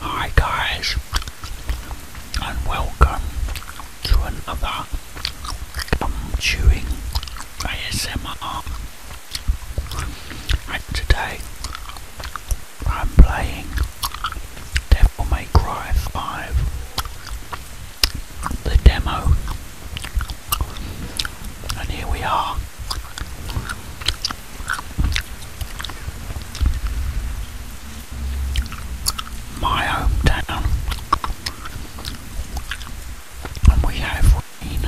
Hi guys, and welcome to another gum chewing ASMR. And today I'm playing Devil May Cry 5, the demo. And here we are my hometown, and we have rain.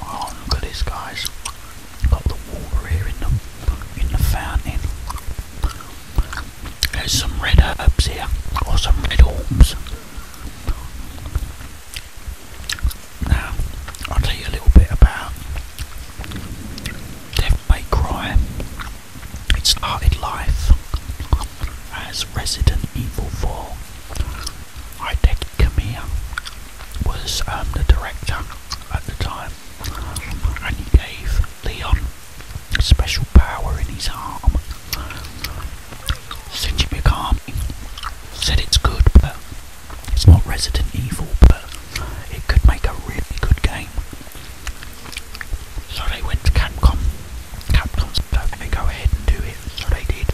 Oh, look at this, guys! Got the water here in the in the fountain. There's some red herbs here, or some red orbs. Now, I'll tell you a little bit about Death May Cry. It started life as Resident Evil 4. Hideki Kamiya was um, the director at the time, and he gave Leon special power in his arm since you said it's good, but it's not Resident Evil, but it could make a really good game. So they went to Capcom. Capcom said, "Let me go ahead and do it." So they did.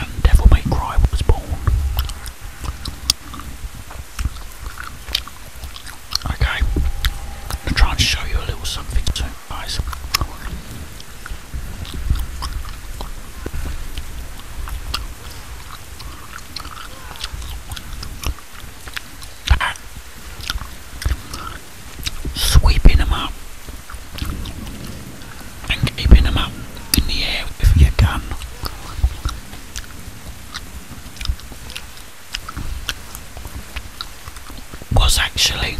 And Devil May Cry was born. Okay, I'm gonna try and show you a little something too, guys. That. Sweeping them up and keeping them up in the air with your gun was actually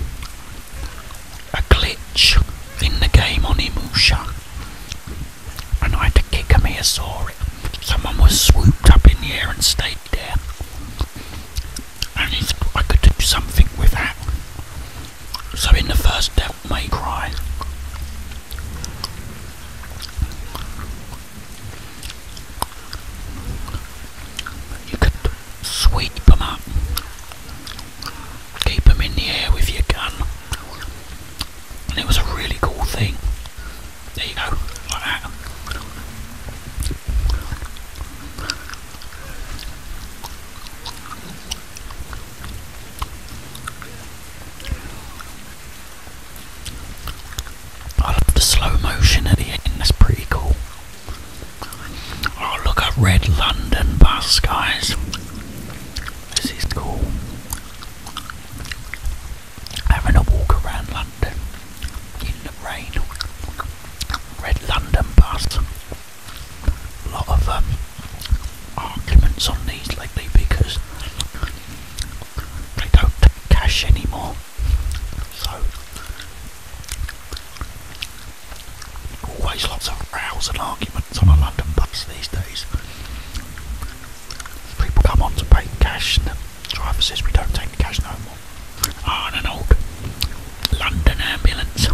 a glitch in the game on Imusha. And I had to kick him here, Sorry, Someone was swooped up in the air and stayed there. And I could do something with that. So in the first death, May Cry, you could sweep them up, keep them in the air with your gun, and it was a really cool thing. There you go, I love the slow motion at the end, that's pretty cool. Oh, look at Red London Bus, guys. This is cool. Having a walk around London in the rain. Red London Bus. lot of um, arguments on these lately because they don't take cash anymore. So always lots of rows and arguments on a London bus these days. People come on to pay cash and the driver says we don't take cash no more. Ah, and an London ambulance.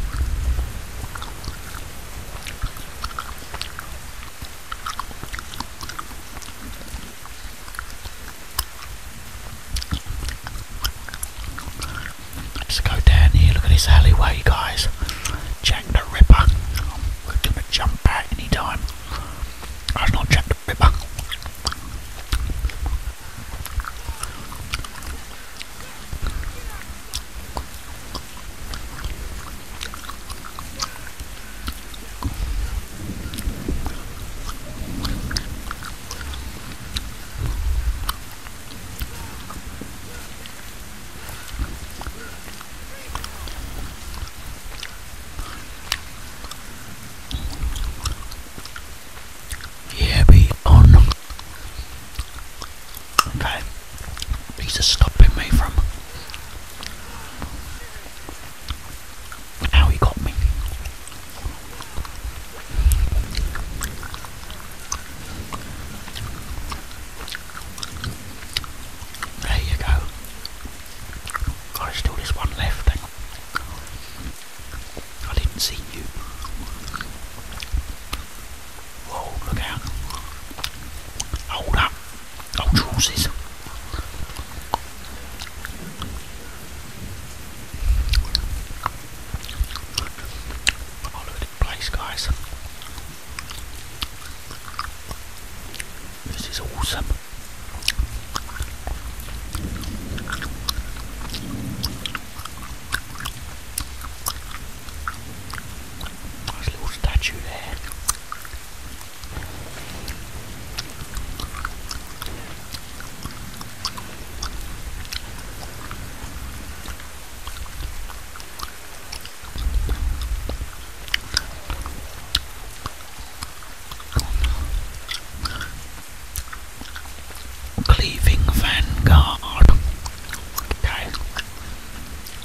Let's go down here. Look at this alleyway, guys. Jack the Ripper. we gonna jump out any time. That's not Jack the Ripper. Yeah, be on. Okay, please just stopping me from how he got me. There you go. Got still this one left. I didn't see you. Whoa, look out. Hold up old horses. Oh, look the place, guys. This is awesome. Nice little statue there. Cleaving Vanguard. Okay.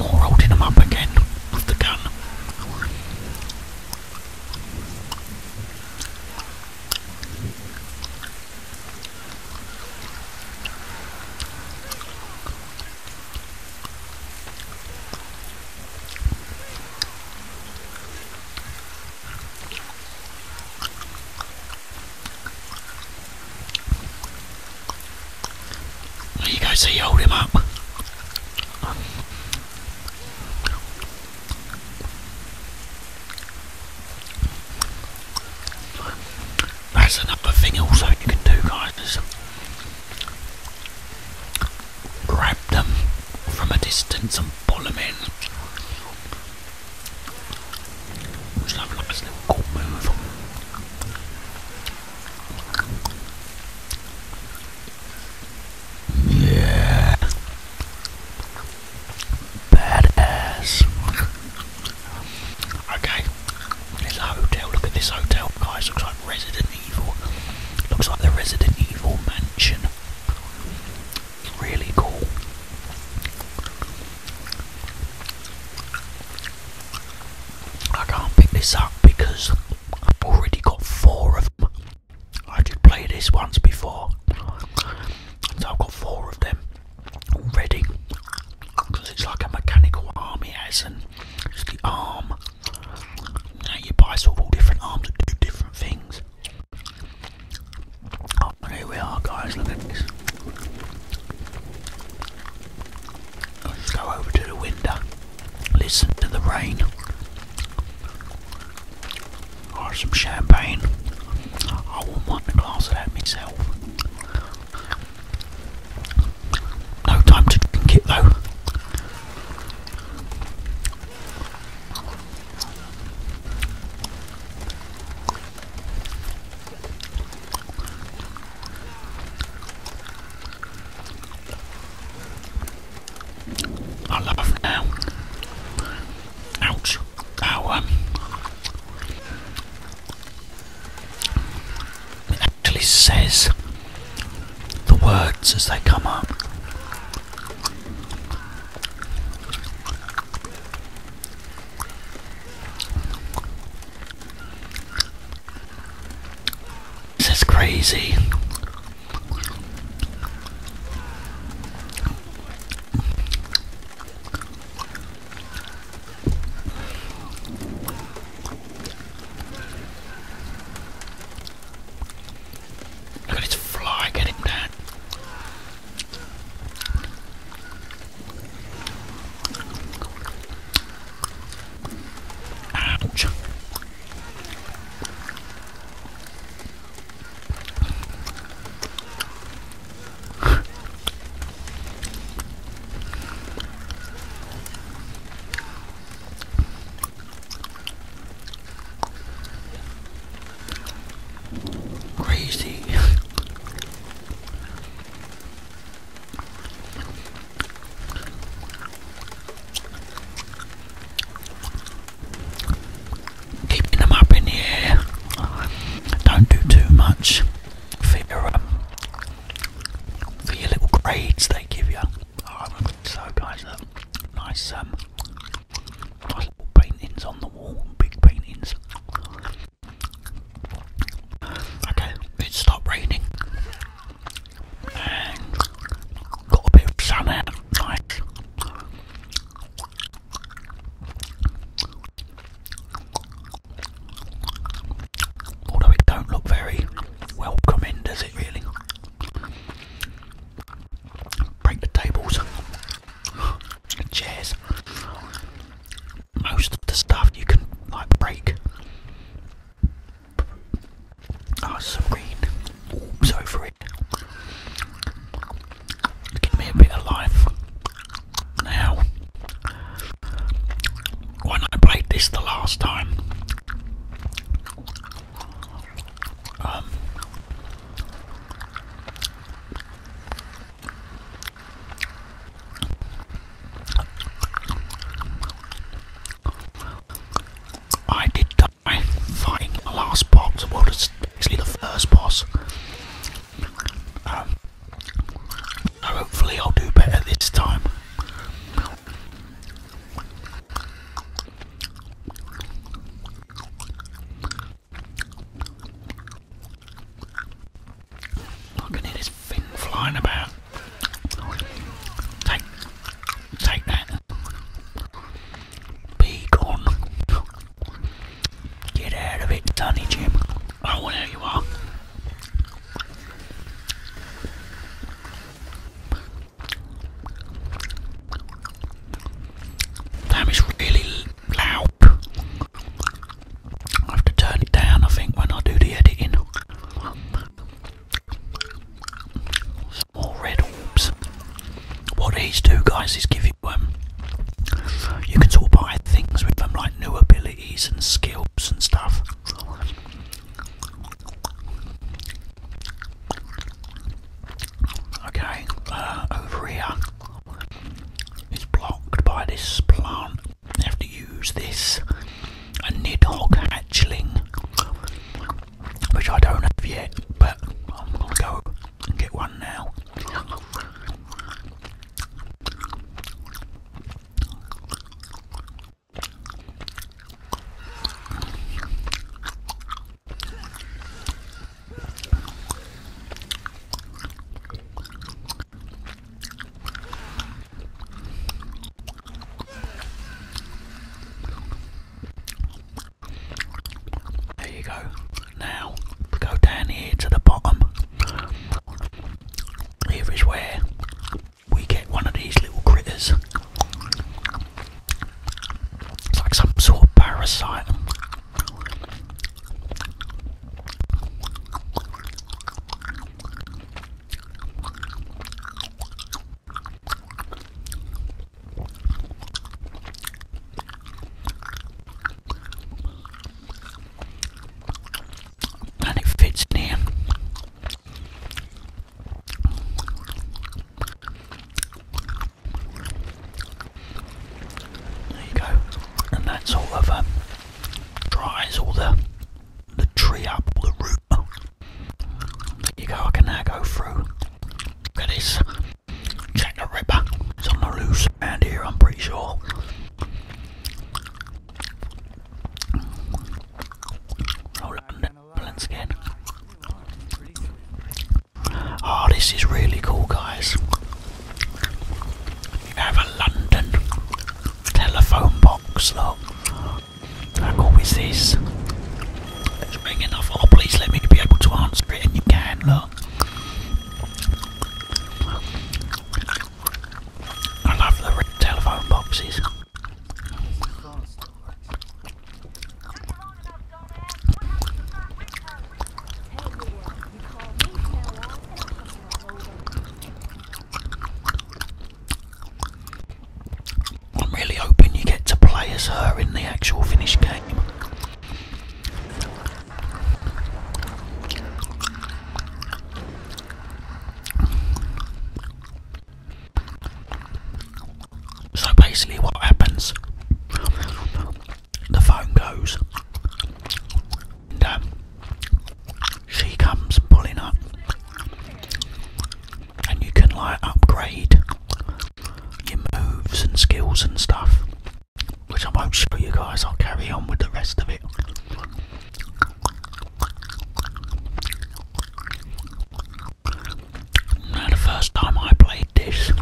Or holding him up again with the gun. There you go, see, you hold him up. That's another thing also you can do guys grab them from a distance and pull them in. Just have like this cool move. Yeah. Badass. okay. There's hotel. Look at this hotel, guys. Looks like Resident Evil. Looks like the Resident Evil mansion. Really cool. I can't pick this up because I've already got four of them. I did play this once before, so I've got four of them already because it's like a mechanical arm it has, and the arm. Now you buy sort of all different arms that do different things. Oh, here we are, guys. Look at this. Let's go over to the window, listen to the rain, or some champagne. I wouldn't want a glass of that myself. No time to drink it though. I love her now. Ouch. Ow. Um, it actually says the words as they come up. This is crazy. Look at his fly, get him Ouch. Crazy. Keeping them up in the Don't do too much um, for your, little grades they give you. so guys, nice, um, paintings on the wall, big paintings. Okay, it stopped raining and got a bit of sun out. Although it don't look very welcoming, does it really? Break the tables chairs, most of the stuff you can like break. Oh, some green over it. Give me a bit of life. Now, when I played this the last time, um. I did die fighting the last boss, well, it's basically the first boss. Um, hopefully, I'll do better this time. I can this thing flying about. Take, take that. Be gone. Get out of it, Tony Jim. Oh, well, you are. Damn, it's really loud. I have to turn it down, I think, when I do the editing. more red orbs. What these do, guys, is give you um, you can sort of things with them, like new abilities and skills and stuff. Okay, uh, over here is blocked by this plant. I have to use this a Nidhogg hatchling, which I don't have yet, but I'm gonna go and get one now. There you go. Now go down here to the bottom. Here is where we get one of these little critters. It's like some sort of parasite. And it fits in. There you go. And that sort of um, dries all the the tree up, all the root. There you go, I can now go through. Look at this. Jack the Ripper. It's on loose around here, I'm pretty sure. Oh, London, balance again. Oh, this is really cool, guys. have a London telephone box, look. How cool is this? It's big enough. Oh, please let me be able to answer it, and you can, look. I love the telephone boxes. I'm really hoping you get to play as her in the actual finished game. So basically, what happens? The phone goes, um, she comes pulling up, and you can like upgrade your moves and skills and stuff, which I won't show you guys. I'll carry on with the rest of it. Now, the first time I played this,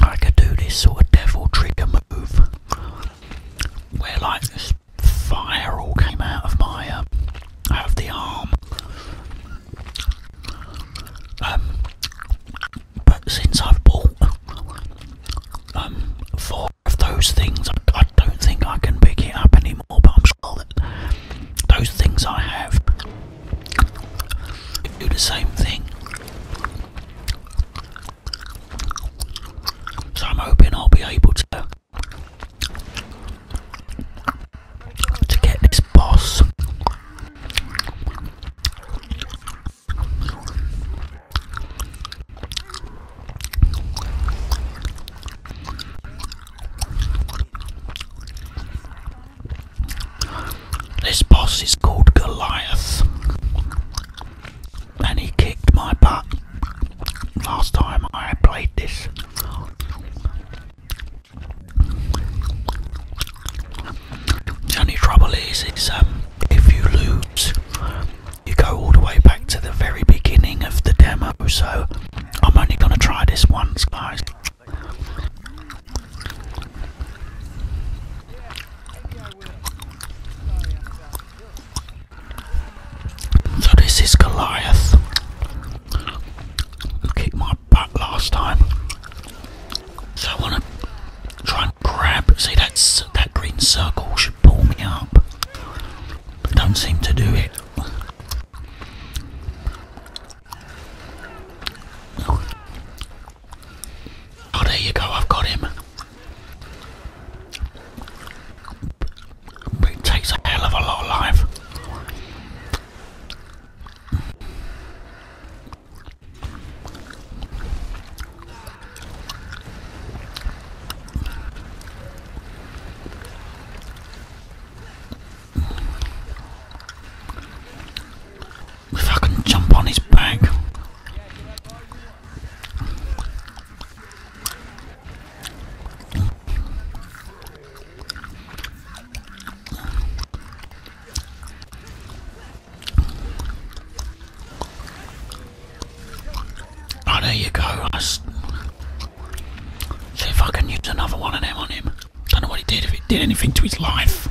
I could do this sort of devil trigger move where like this fire all came out of my um, out of the arm. Um, but since I've bought um, four of those things, I don't think I can pick it up anymore. But I'm sure that those things I have do the same thing. So I'm hoping I'll be able to to get this boss. This boss is called Goliath, and he kicked my butt last time I played this. The only trouble is, it's um, if you lose, you go all the way back to the very beginning of the demo. So I'm only going to try this once, guys. So this is Goliath, who kicked my butt last time. So I want to try and grab. See that's that green circle should pull me up. But don't seem to do it. Oh, there you go, I've got him. it takes a hell of a lot of life. If I can jump on his back. Oh, there you go. See if I can use another one of them on him. Don't know what he did, if it did anything to his life.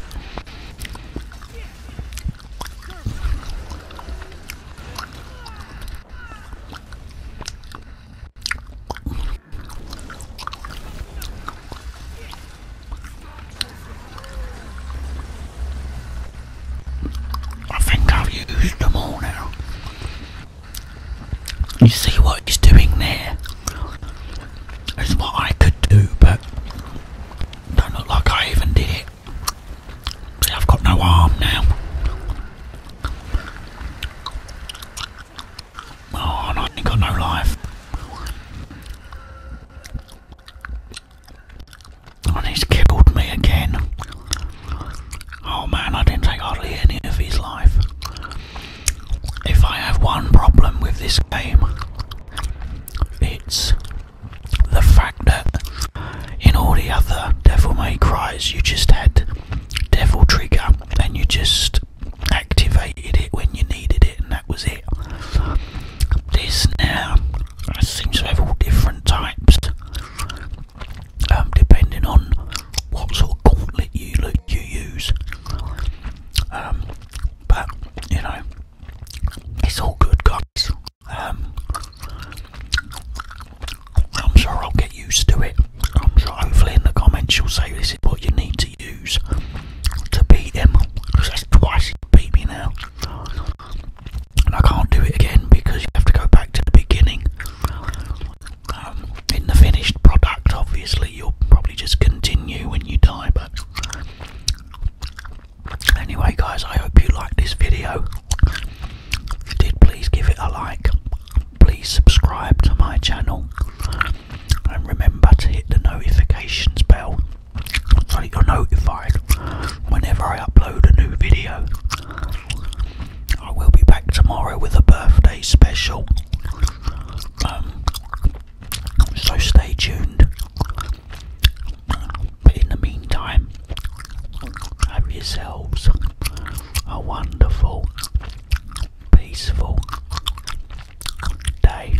I think I've used them all now. You see what he's doing there? It's what I could do, but don't look like I even did it. See, I've got no arm now. Oh, and I ain't got no life. And he's killed me again. Oh man, I didn't take hardly any of his life. If I have one problem with this game, it's the fact that in all the other Devil May Cries, you just had Devil Trigger and you just activated it when you needed it, and that was it. This now seems to have all different types, um, depending on what sort of gauntlet you you use. Um, but you know, it's all good, guys. Um, I'm sure I'll get used to it. hopefully in the comments you'll say this is what you need to use to beat him. that's twice he beat me now. And I can't do it again because you have to go back to the beginning. Um, in the finished product, obviously, you'll probably just continue when you die. But anyway, guys, I hope you liked this video. If you did, please give it a like. Please subscribe to my channel and remember to hit the notifications bell so that you're notified whenever I upload a new video. I will be back tomorrow with a birthday special. Um, so stay tuned. But in the meantime, have yourselves a wonderful, peaceful day.